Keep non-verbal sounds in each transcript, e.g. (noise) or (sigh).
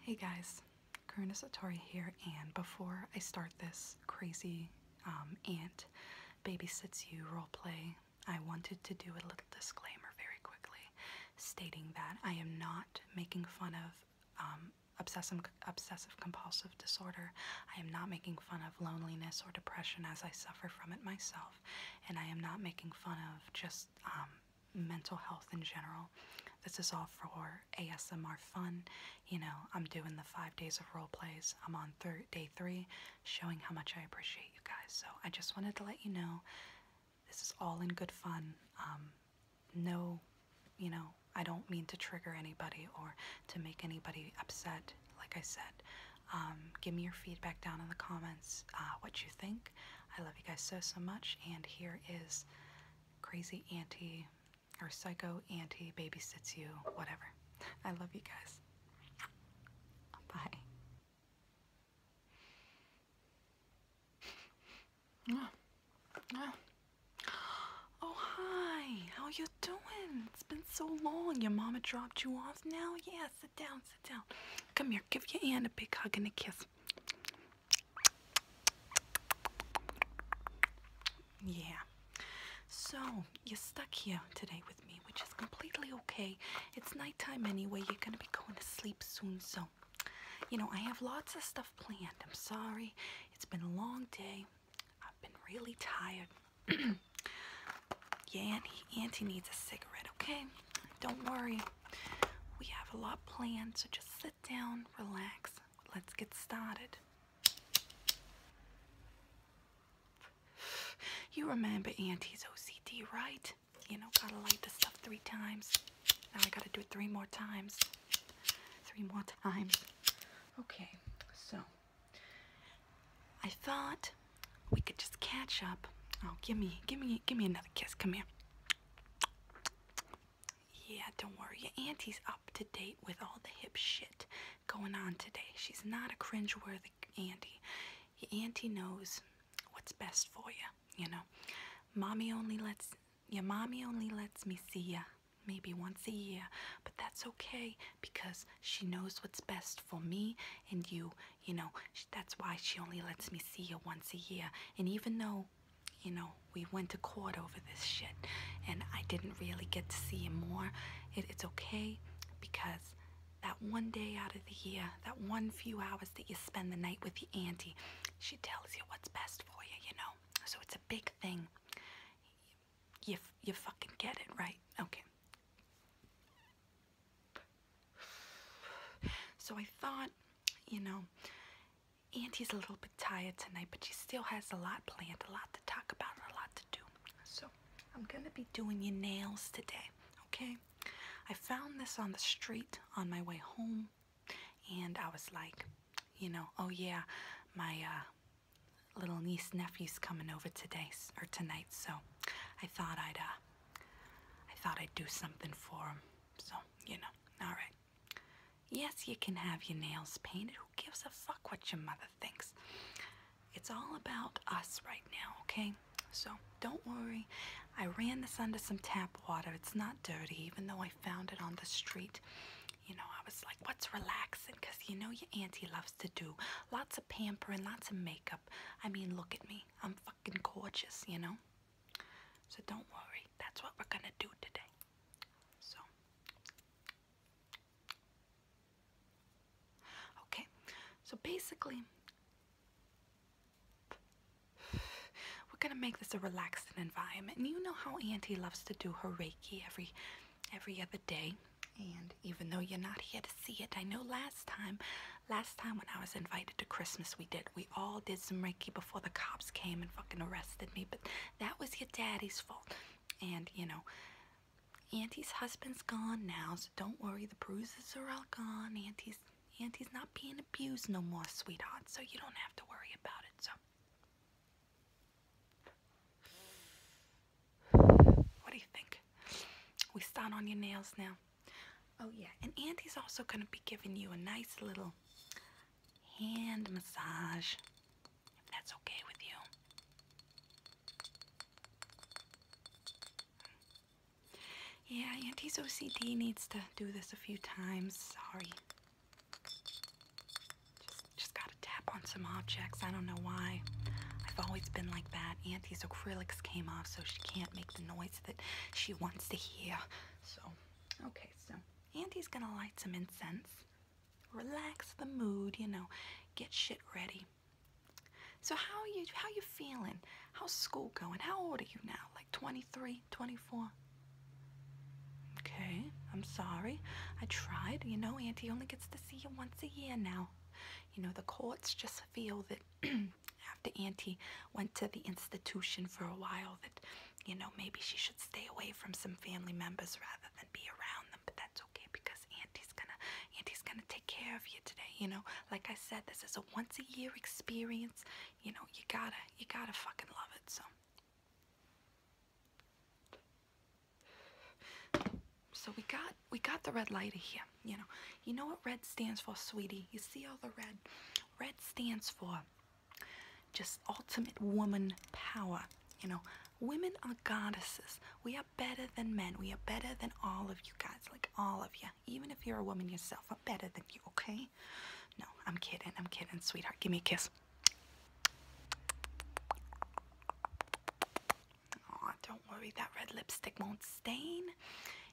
Hey guys, Karuna Satori here, and before I start this crazy um, ant babysits you roleplay, I wanted to do a little disclaimer very quickly, stating that I am not making fun of um, obsessive compulsive disorder. I am not making fun of loneliness or depression as I suffer from it myself, and I am not making fun of just um, mental health in general. This is all for ASMR fun. You know, I'm doing the five days of role plays. I'm on thir day three, showing how much I appreciate you guys. So I just wanted to let you know this is all in good fun. Um, no, you know, I don't mean to trigger anybody or to make anybody upset. Like I said, um, give me your feedback down in the comments, uh, what you think. I love you guys so, so much. And here is Crazy Auntie or Psycho Auntie Babysits You, whatever. I love you guys. Bye. Ah. Ah. Oh, hi. How you doing? It's been so long. Your mama dropped you off now? Yes, Sit down, sit down. Come here, give your aunt a big hug and a kiss. Yeah. So, you're stuck here today with me, which is completely okay. It's nighttime anyway. You're going to be going to sleep soon, so you know, I have lots of stuff planned. I'm sorry. It's been a long day. I've been really tired. (clears throat) yeah, Auntie, Auntie needs a cigarette, okay? Don't worry. We have a lot planned, so just sit down, relax. Let's get started. You remember Auntie's OCD, right? You know, gotta light the stuff three times. Now I gotta do it three more times. Three more times. Okay, so I thought we could just catch up. Oh, give me, give me, give me another kiss. Come here. Yeah, don't worry. Your auntie's up to date with all the hip shit going on today. She's not a cringe-worthy auntie. Your auntie knows what's best for you, you know. Mommy only lets your mommy only lets me see you maybe once a year, but that's okay because she knows what's best for me and you you know that's why she only lets me see you once a year and even though you know we went to court over this shit and i didn't really get to see you more it's okay because that one day out of the year that one few hours that you spend the night with your auntie she tells you what's best for you you know so it's a big thing you, you fucking get it right okay so I thought, you know, Auntie's a little bit tired tonight, but she still has a lot planned, a lot to talk about, a lot to do. So I'm going to be doing your nails today, okay? I found this on the street on my way home, and I was like, you know, oh yeah, my uh, little niece nephew's coming over today or tonight, so I thought I'd uh, I thought I'd do something for him, so you know, alright. Yes, you can have your nails painted. Who gives a fuck what your mother thinks? It's all about us right now, okay? So don't worry. I ran this under some tap water. It's not dirty, even though I found it on the street. You know, I was like, what's relaxing? Because you know your auntie loves to do lots of pampering, lots of makeup. I mean, look at me. I'm fucking gorgeous, you know? So don't worry. That's what we're gonna do today. So. Okay, so basically, we're gonna make this a relaxing environment. you know how Auntie loves to do her Reiki every every other day. And even though you're not here to see it, I know last time, last time when I was invited to Christmas, we did. We all did some Reiki before the cops came and fucking arrested me, but that was your daddy's fault. And, you know, Auntie's husband's gone now, so don't worry, the bruises are all gone. Auntie's, Auntie's not being abused no more, sweetheart, so you don't have to worry about it, so. What do you think? We start on your nails now. Oh yeah, and Andy's also going to be giving you a nice little hand massage, if that's okay with you. Yeah, Auntie's OCD needs to do this a few times. Sorry. Just, just gotta tap on some objects. I don't know why. I've always been like that. Aunt these acrylics came off, so she can't make the noise that she wants to hear. So, okay, so Andy's gonna light some incense, relax the mood, you know, get shit ready. So how are you how you feeling? How's school going? How old are you now? Like 23, 24? Okay, I'm sorry. I tried. You know, Auntie only gets to see you once a year now you know the courts just feel that (clears throat) after auntie went to the institution for a while that you know maybe she should stay away from some family members rather than be around them but that's okay because auntie's gonna auntie's gonna take care of you today you know like i said this is a once a year experience you know you gotta you gotta fucking love it so so we got we got the red light here. You know, you know what red stands for, sweetie. You see all the red. Red stands for just ultimate woman power. You know, women are goddesses. We are better than men. We are better than all of you guys, like all of you. Even if you're a woman yourself, I'm better than you, okay? No, I'm kidding. I'm kidding, sweetheart. Give me a kiss. Oh, don't worry, that red lipstick won't stain.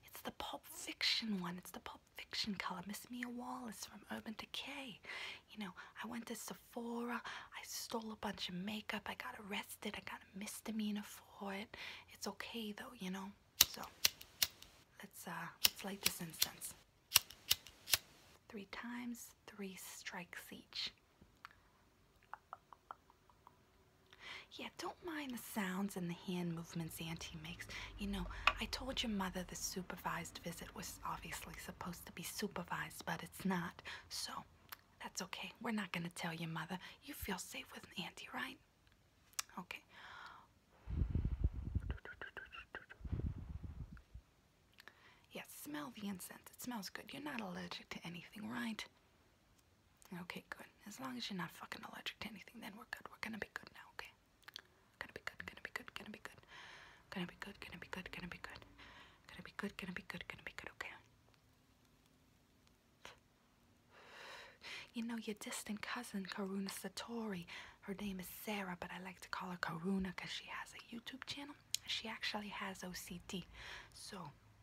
It's the Pop Fiction one. It's the Pop Fiction color. Miss Mia Wallace from Urban Decay. You know, I went to Sephora. I stole a bunch of makeup. I got arrested. I got a misdemeanor for it. It's okay though, you know. So let's uh let's light this incense. Three times, three strikes each. Yeah, don't mind the sounds and the hand movements Auntie makes. You know, I told your mother the supervised visit was obviously supposed to be supervised, but it's not. So, that's okay. We're not going to tell your mother. You feel safe with Auntie, right? Okay. Yes, smell the incense. It smells good. You're not allergic to anything, right? Okay, good. As long as you're not fucking allergic to anything, then we're good. We're gonna be good now, okay? Gonna be good, gonna be good, gonna be good. Gonna be good, gonna be good, gonna be good. Gonna be good, gonna be good, okay? You know, your distant cousin, Karuna Satori, her name is Sarah, but I like to call her Karuna because she has a YouTube channel. She actually has OCD. So,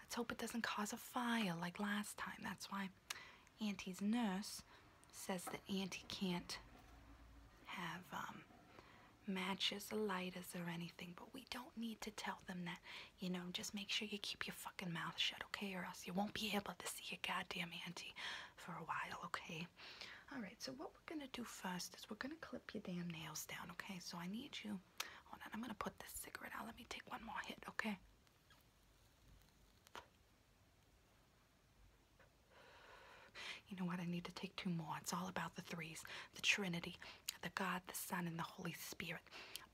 Let's hope it doesn't cause a fire like last time. That's why Auntie's nurse says that Auntie can't have um, matches or lighters or anything, but we don't need to tell them that. You know, just make sure you keep your fucking mouth shut, okay? Or else you won't be able to see your goddamn auntie for a while, okay? All right, so what we're gonna do first is we're gonna clip your damn nails down, okay? So I need you, hold on, I'm gonna put this cigarette out. Let me take one more hit, okay? You know what? I need to take two more. It's all about the threes the Trinity, the God, the Son, and the Holy Spirit.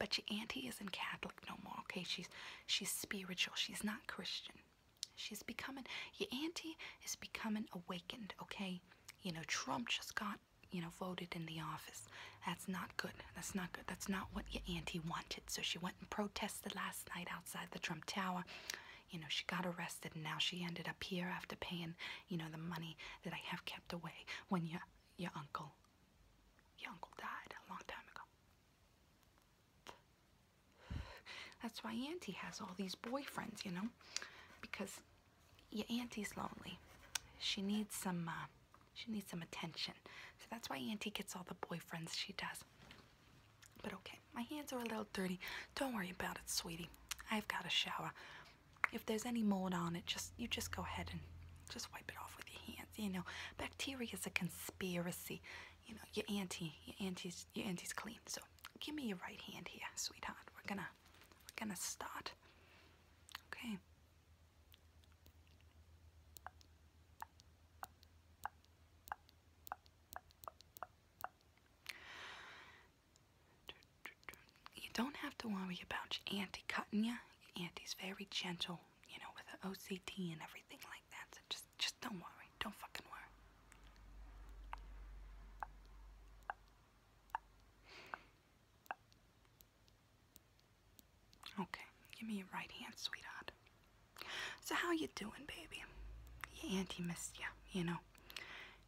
But your auntie isn't Catholic no more, okay? She's, she's spiritual, she's not Christian. She's becoming, your auntie is becoming awakened, okay? You know, Trump just got you know, voted in the office. That's not good. That's not good. That's not what your auntie wanted. So she went and protested last night outside the Trump Tower. You know, she got arrested and now she ended up here after paying, you know, the money that I have kept away when your your uncle your uncle died a long time ago. That's why Auntie has all these boyfriends, you know, because your Auntie's lonely. She needs some uh, she needs some attention. So that's why Auntie gets all the boyfriends she does. But okay, my hands are a little dirty. Don't worry about it, sweetie. I've got a shower. If there's any mold on it, just you just go ahead and just wipe it off with your hands. You know, bacteria is a conspiracy. You know, your auntie, your auntie's, your auntie's clean. So give me your right hand here, sweetheart. We're gonna, we're gonna start. Okay. You don't have to worry about your auntie cutting you. Your auntie's very gentle, you know, with the OCT and everything like that. So just, just don't worry. Don't fucking worry. Okay, give me your right hand, sweetheart. So how you doing, baby? Your auntie missed ya, you know.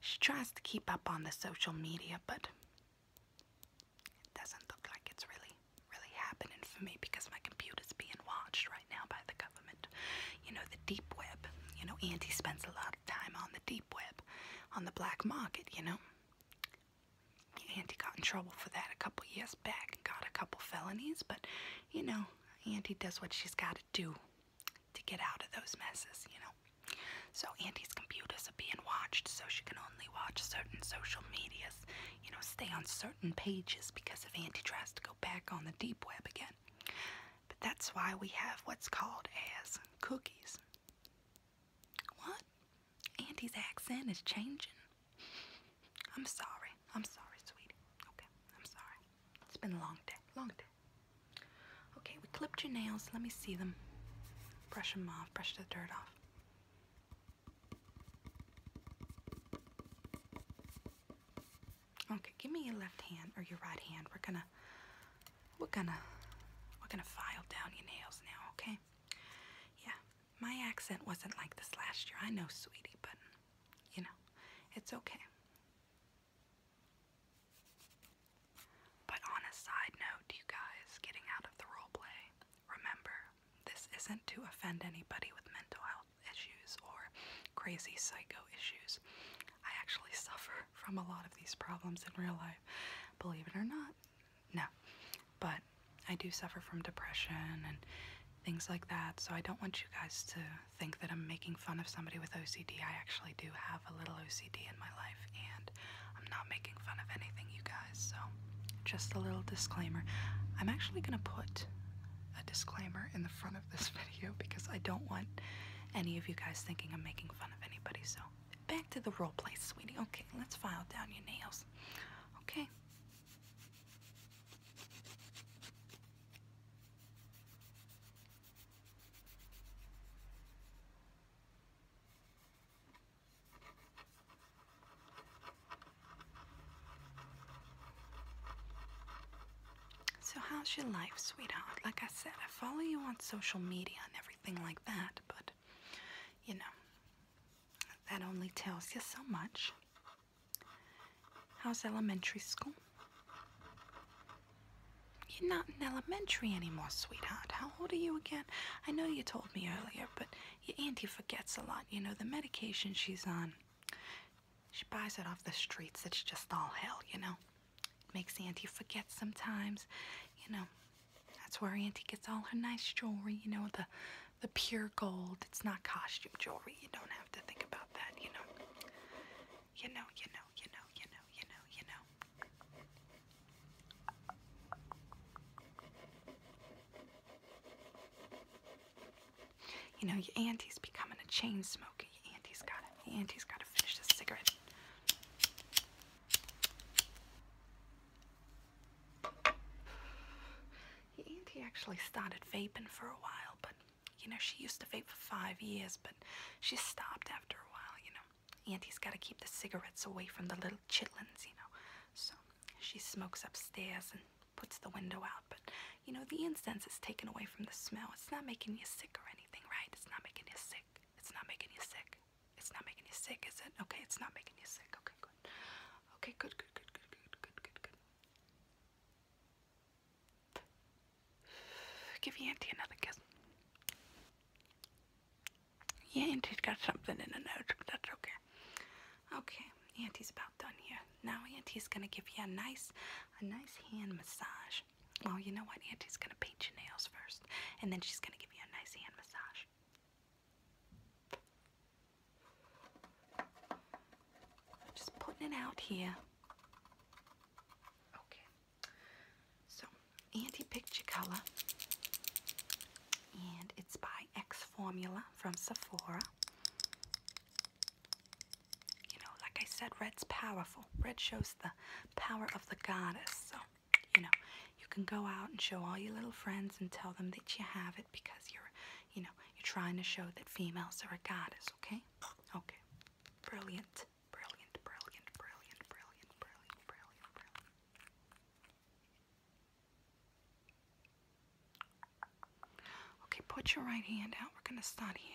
She tries to keep up on the social media, but it doesn't look like it's really, really happening for me because my computer's being watched right now by the government. You know, the deep web. You know, Auntie spends a lot of time on the deep web, on the black market, you know. Auntie got in trouble for that a couple years back and got a couple felonies, but you know, Auntie does what she's got to do to get out of those messes, you know. So Auntie's computers are being watched, so she can only watch certain social medias, you know, stay on certain pages because if Auntie tries to go back on the deep web again. But that's why we have what's called as cookies. What? Andy's accent is changing. I'm sorry. I'm sorry, sweetie. Okay, I'm sorry. It's been a long day. Long day. Okay, we clipped your nails. Let me see them. Brush them off. Brush the dirt off. Okay, give me your left hand or your right hand. We're gonna we're gonna we're gonna file down your nails now, okay? Yeah, my accent wasn't like this last year. I know, sweetie, but you know, it's okay. But on a side note, you guys, getting out of the role play, remember, this isn't to offend anybody with mental health issues or crazy psycho issues. I actually suffer from a lot of these problems in real life, believe it or not. No. But I do suffer from depression and things like that, so I don't want you guys to think that I'm making fun of somebody with OCD. I actually do have a little OCD in my life, and I'm not making fun of anything, you guys, so just a little disclaimer. I'm actually going to put a disclaimer in the front of this (laughs) video because I don't want any of you guys thinking I'm making fun of anybody, so back to the role play, sweetie. Okay, let's file down your nails. Okay. So how's your life, sweetheart? Like I said, I follow you on social media and everything like that, but you know, that only tells you so much. How's elementary school? You're not in elementary anymore, sweetheart. How old are you again? I know you told me earlier, but your auntie forgets a lot. You know, the medication she's on, she buys it off the streets. It's just all hell, you know? It makes Auntie forget sometimes. You know, that's where Auntie gets all her nice jewelry, you know, the, the pure gold. It's not costume jewelry. You don't have to think about that, you know. You know, you know, you know, you know, you know, you know. You know, auntie's becoming a chain smoker. auntie's got auntie's gotta finish this cigarette. Auntie actually started vaping for a while, but you know, she used to vape for five years, but she stopped after a while, you know. Auntie's gotta keep the cigarettes away from the little chitlins, you know. So she smokes upstairs and puts the window out, but you know, the incense is taken away from the smell. It's not making you sick or anything, right? It's not making you sick. It's not making you sick. It's not making you sick, is it? Okay, it's not making you sick. Okay, good. Okay, good, good, good, good, good, good, good, good. (sighs) Give Auntie another kiss. Yeah, Auntie's got something in her nose, but that's okay. Okay, Auntie's about done here. Now Auntie's gonna give you a nice, a nice hand massage. Well, oh, you know what? Auntie's gonna paint your nails first, and then she's gonna give you a nice hand massage. Just putting it out here. Okay. So, Auntie picked your color, and it's by X Formula from Sephora. You know, like I said, red's powerful. Red shows the power of the goddess. So, you know, you can go out and show all your little friends and tell them that you have it because you're, you know, you're trying to show that females are a goddess, okay? Okay. Brilliant. Brilliant, brilliant, brilliant, brilliant, brilliant, Okay, put your right hand out. We're going to start here.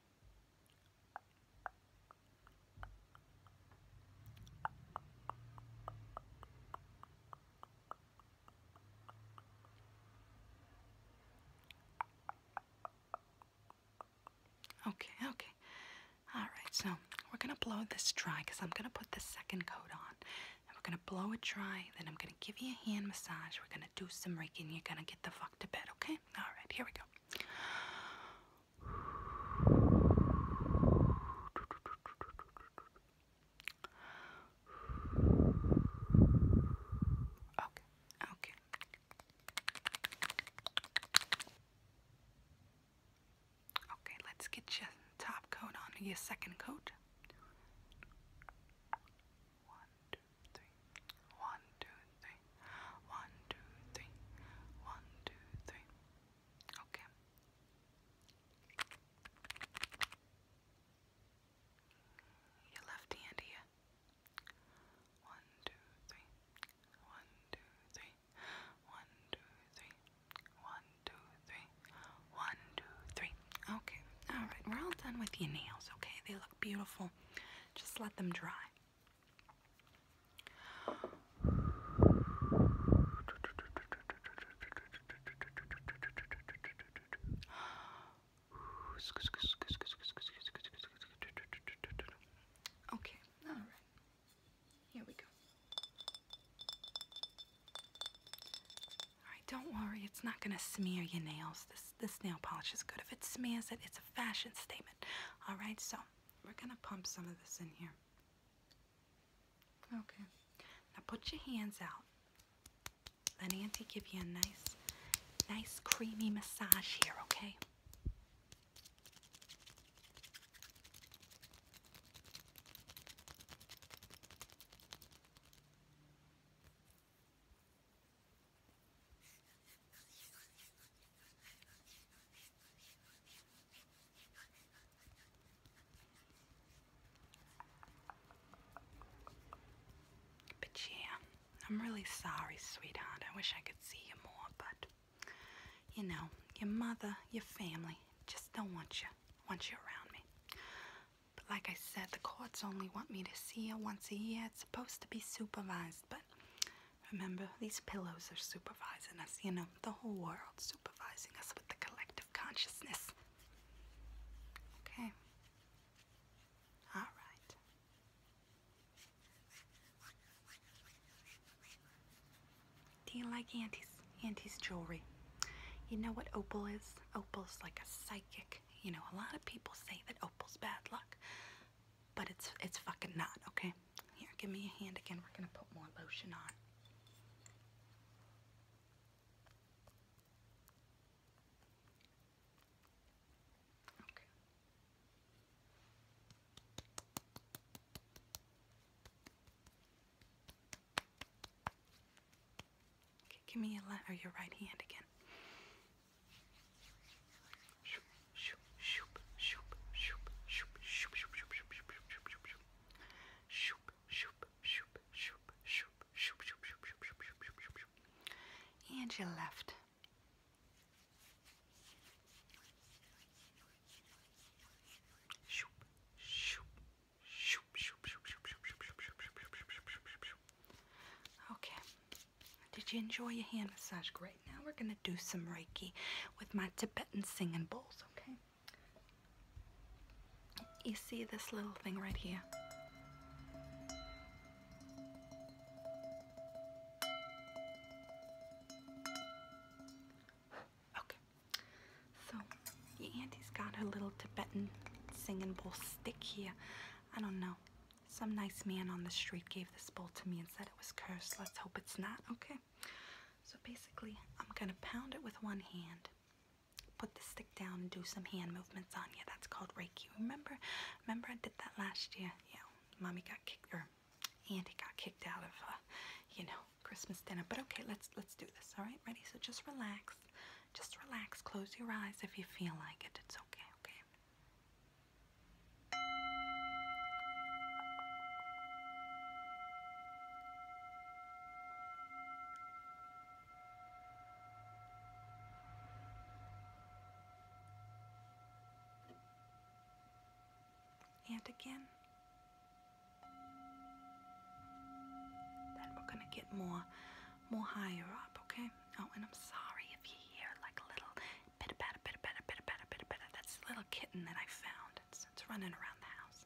Okay, okay. All right, so we're gonna blow this dry because I'm gonna put the second coat on. we're gonna blow it dry, then I'm gonna give you a hand massage. We're gonna do some Reiki you're gonna get the fuck to bed, okay? All right, here we go. Okay, okay. Okay, let's get your top coat on, your second coat. One, two, three. One, two, three three. One, two, three. One, two, three. Okay. Your left hand here. One, two, three. One, two, three. One, two, three. One, two, three. One, two, three. Okay. All right. We're all done with your nails. Okay. They look beautiful. Just let them dry. Okay, all right. Here we go. All right, don't worry. It's not going to smear your nails this this, nail polish is good. If it smears it, it's a fashion statement. All right, so we're going to pump some of this in here. Okay. Now put your hands out. Let Auntie give you a nice, nice creamy massage here, okay? But yeah, I'm really sorry, sweetheart. I wish I could see you more, but you know, your mother, your family just don't want you, want you around me. But like I said, the courts only want me to see you once a year. It's supposed to be supervised, but remember, these pillows are supervising us, you know, the whole world supervising us with the collective consciousness. Okay? All right. Do you like Auntie's, Auntie's jewelry? You know what opal is? Opal's like a psychic. You know, a lot of people say that opal's bad luck but it's it's fucking not, okay? Here, give me a hand again. We're gonna put more lotion on. Okay. Okay, give me your left or your right hand again and your left. Okay, did you enjoy your hand massage? Great. Now we're going to do some Reiki with my Tibetan singing bowls, okay? You see this little thing right here? Okay. So, your auntie's got her little Tibetan singing bowl stick here. I don't know. Some nice man on the street gave this bowl to me and said it was cursed. Let's hope it's not. Okay. So basically, I'm going to pound it with one hand. Put the stick down and do some hand movements on you. That's called Reiki. Remember? Remember I did that last year? Yeah. Mommy got kicked, or Andy got kicked out of, uh, you know, Christmas dinner. But okay, let's let's do this. All right? Ready? So just relax. Just relax. Close your eyes if you feel like it. It's okay. Okay? And again. Then we're going to get more more higher up, okay? Oh, and I'm sorry if you hear like a little bit of better, bit of better, bit of better, bit of better. That's the little kitten that I found. It's, it's running around the house.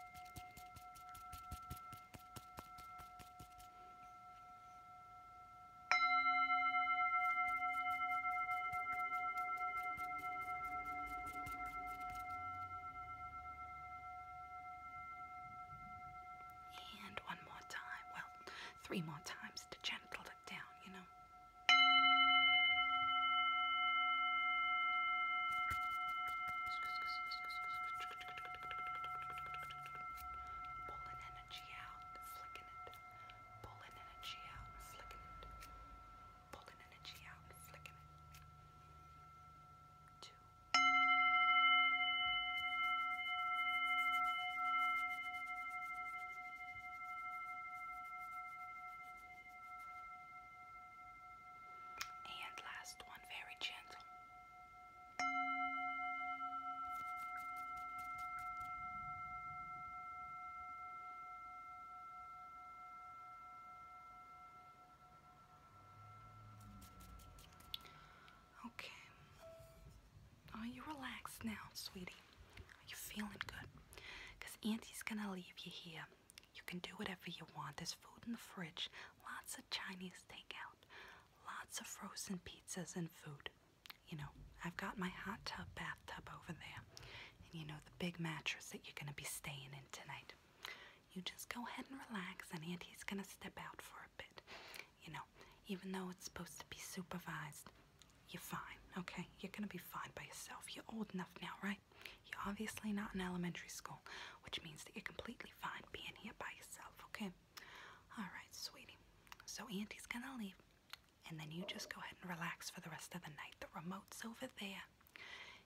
And one more time, well, three more times to gentle it down, you know. Pulling energy out, flicking it. Pulling energy out, flicking it. Pulling energy out, flicking it. Two. Three. And last one, very gentle. Okay. Are you relaxed now, sweetie? Are you feeling good? Because Auntie's gonna leave you here you can do whatever you want. There's food in the fridge, lots of Chinese takeout, lots of frozen pizzas and food. You know, I've got my hot tub bathtub over there, and you know, the big mattress that you're going to be staying in tonight. You just go ahead and relax, and Auntie's going to step out for a bit. You know, even though it's supposed to be supervised, you're fine, okay? You're going to be fine by yourself. You're old enough now, right? You're obviously not in elementary school, which means that you're completely fine being here by yourself, okay? Alright, sweetie. So Auntie's gonna leave, and then you just go ahead and relax for the rest of the night. The remote's over there.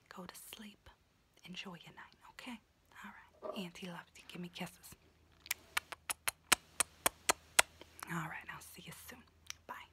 Go to sleep. Enjoy your night, okay? Alright. Auntie loves you. Give me kisses. Alright, I'll see you soon. Bye.